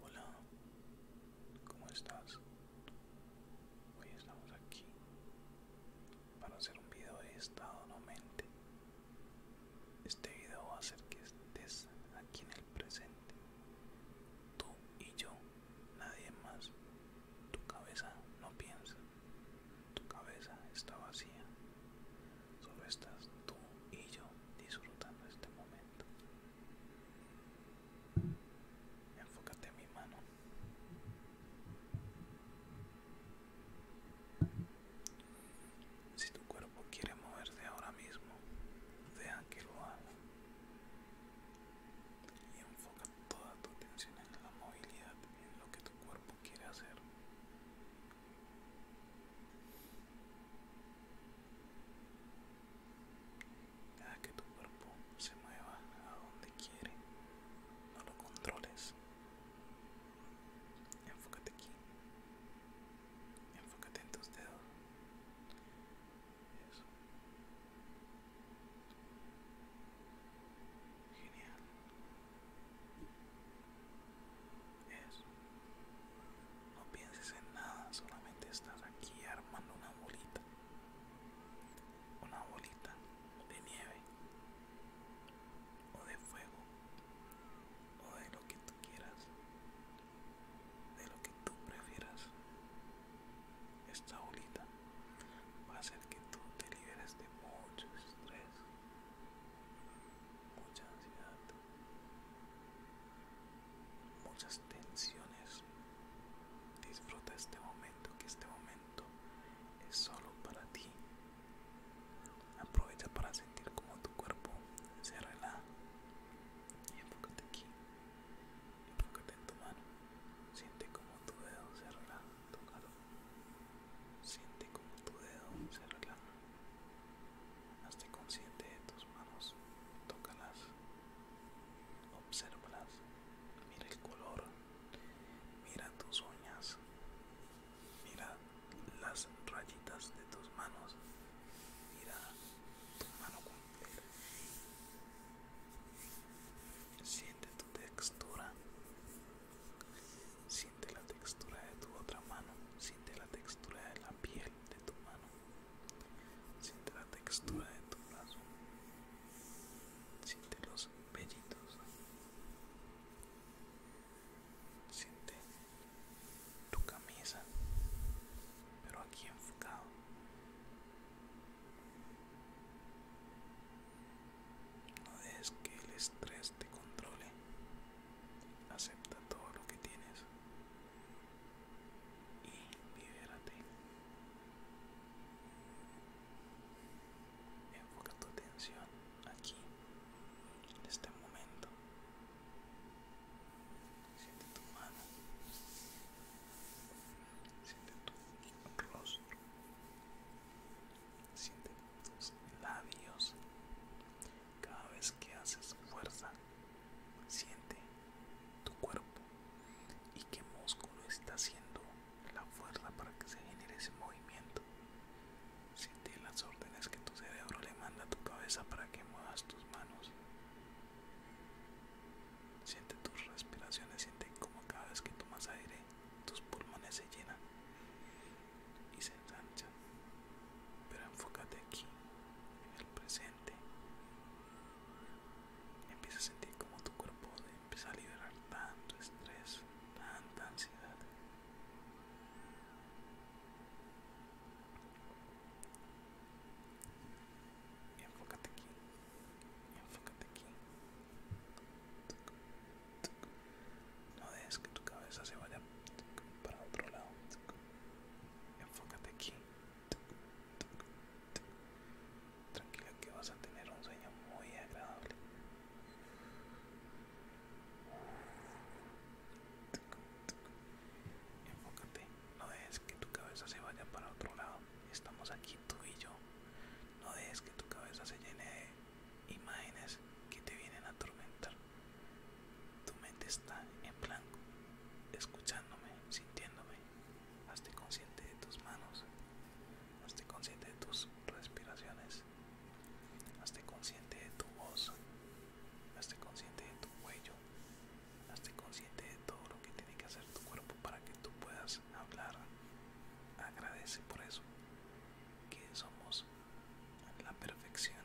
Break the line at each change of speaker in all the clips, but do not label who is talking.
Hola, ¿cómo estás? Hoy estamos aquí para hacer un video de estado no mente. Este video va a hacer que estés aquí en el presente. Tú y yo, nadie más. Tu cabeza no piensa. Tu cabeza está vacía. Solo estás tú y yo disfrutando este momento. Enfócate en mi mano. Si tu cuerpo quiere moverse ahora mismo, deja que lo haga. Y enfoca toda tu atención en la movilidad, en lo que tu cuerpo quiere hacer que tu cuerpo se mueva a donde quiere. No lo controles. Enfócate aquí. Enfócate en tus dedos. Eso. Genial no pienses en nada, solamente estás aquí armando una bolita, una bolita de nieve o de fuego o de lo que tú quieras, de lo que tú prefieras. Esta bolita va a hacer que tú te liberes de mucho estrés, mucha ansiedad muchas tensiones. Disfruta este momento, que este momento es solo para ti. Aprovecha para sentir como tu cuerpo se relaja. Y enfócate aquí. Enfócate en tu mano. Siente como tu dedo se relaja. Tócalo. Siente como tu dedo se relaja. Hazte consciente de tus manos, tócalas, obsérvalas, mira el color, mira tus uñas, mira las rayitas de tus manos, mira tu mano completa. Siente tu textura. Siente la textura de tu otra mano. Siente la textura de la piel de tu mano, siente la textura de tu brazo, siente los vellitos, siente tu camisa, pero aquí enfocado. No dejes que el estrés te controle. Acepta todo lo que tienes y libérate. Enfoca tu atención aquí, en este momento. Siente tu mano. Siente tu rostro. Siente tus labios. Cada vez que haces fuerza Siente tu cuerpo y qué músculo está haciendo la fuerza para que se genere ese movimiento. Siente las órdenes que tu cerebro le manda a tu cabeza para que muevas tus manos. Siente tus respiraciones, siente cómo cada vez que tomas aire tus pulmones se llenan y se ensanchan pero enfócate aquí, en el presente. Empieza a sentir como tu cuerpo empieza a liberar tanto estrés, tanta ansiedad. Y enfócate aquí, enfócate aquí. No dejes que tu cabeza se vaya para otro lado. Enfócate aquí. Tranquila que vas a tener un sueño muy agradable. Enfócate, no dejes que tu cabeza se vaya para otro lado. Estamos aquí tú y yo. No dejes que tu cabeza se llene de imágenes que te vienen a atormentar. Tu mente está en blanco, escuchándome, sintiéndome. Hazte consciente de tus manos. Hazte consciente de tus respiraciones. Hazte consciente de tu voz. Hazte consciente de tu cuello. Hazte consciente de todo lo que tiene que hacer tu cuerpo para que tú puedas hablar. Agradece por eso que somos la perfección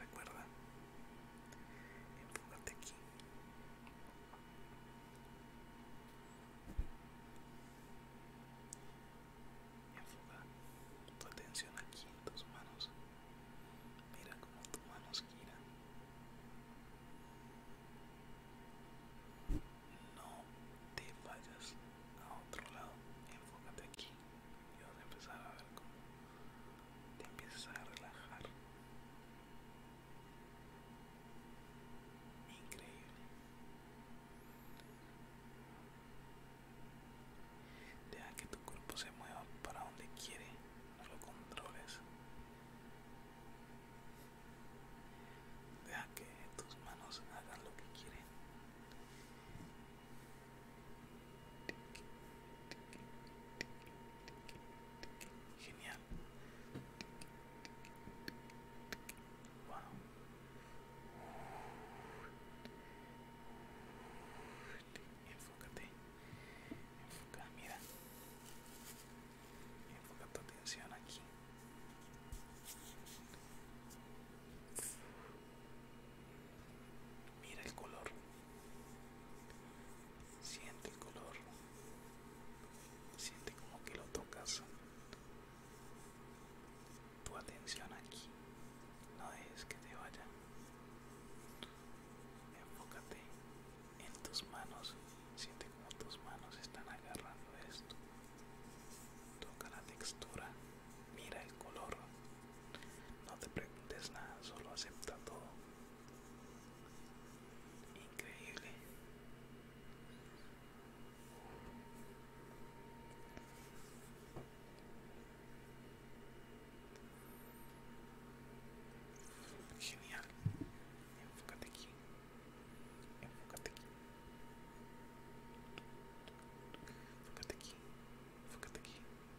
Recuerda, enfócate aquí. Enfoca tu atención aquí en tus manos. Mira cómo tus manos giran. No te vayas a otro lado. Enfócate aquí y vas a empezar a ver cómo te empiezas a relajar. Increíble. Deja que tu cuerpo se mueva para donde quiere, no lo controles. Deja que tus manos hagan lo que quieren. Genial. Wow. Enfócate. Enfoca, mira. Enfoca tu atención aquí. Mira el color. Siente el color. Siente como que lo tocas. Tu atención aquí. No dejes que te vaya. Enfócate en tus manos. Siente como tus manos están agarrando esto. Toca la textura Mira el color. No te preguntes nada, solo acepta todo. Increíble. Genial. Enfócate aquí. Enfócate aquí. Enfócate aquí. aquí.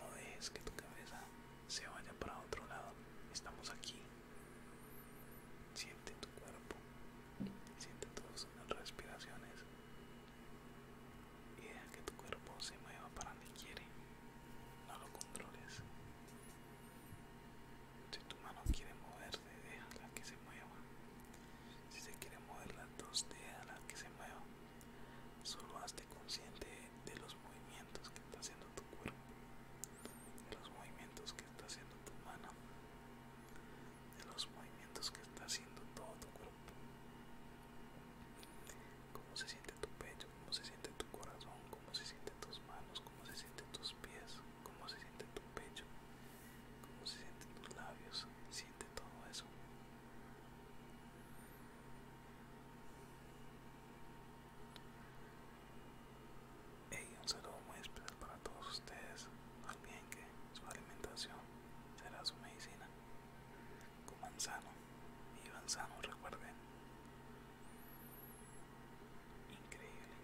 No dejes que tu cabeza se vaya para otro lado. Estamos aquí. Siente tu cuerpo. Siente tus respiraciones. Y deja que tu cuerpo se mueva para donde quiere. No lo controles. Si tu mano quiere moverse, déjala que se mueva. Si se quiere mover las dos, déjala que se mueva. Solo hazte consciente de los movimientos que está haciendo tu cuerpo, de los movimientos que está haciendo tu mano, de los movimientos que está haciendo todo tu cuerpo. Cómo se siente tu pecho, cómo se siente tu corazón, cómo se sienten tus manos, cómo se sienten tus pies, cómo se siente tu pecho, cómo se sienten tus labios, siente todo eso. Y un saludo muy especial para todos ustedes. Al bien que su alimentación será su medicina. Coman sano, vivan sano, recuerden. Increíble.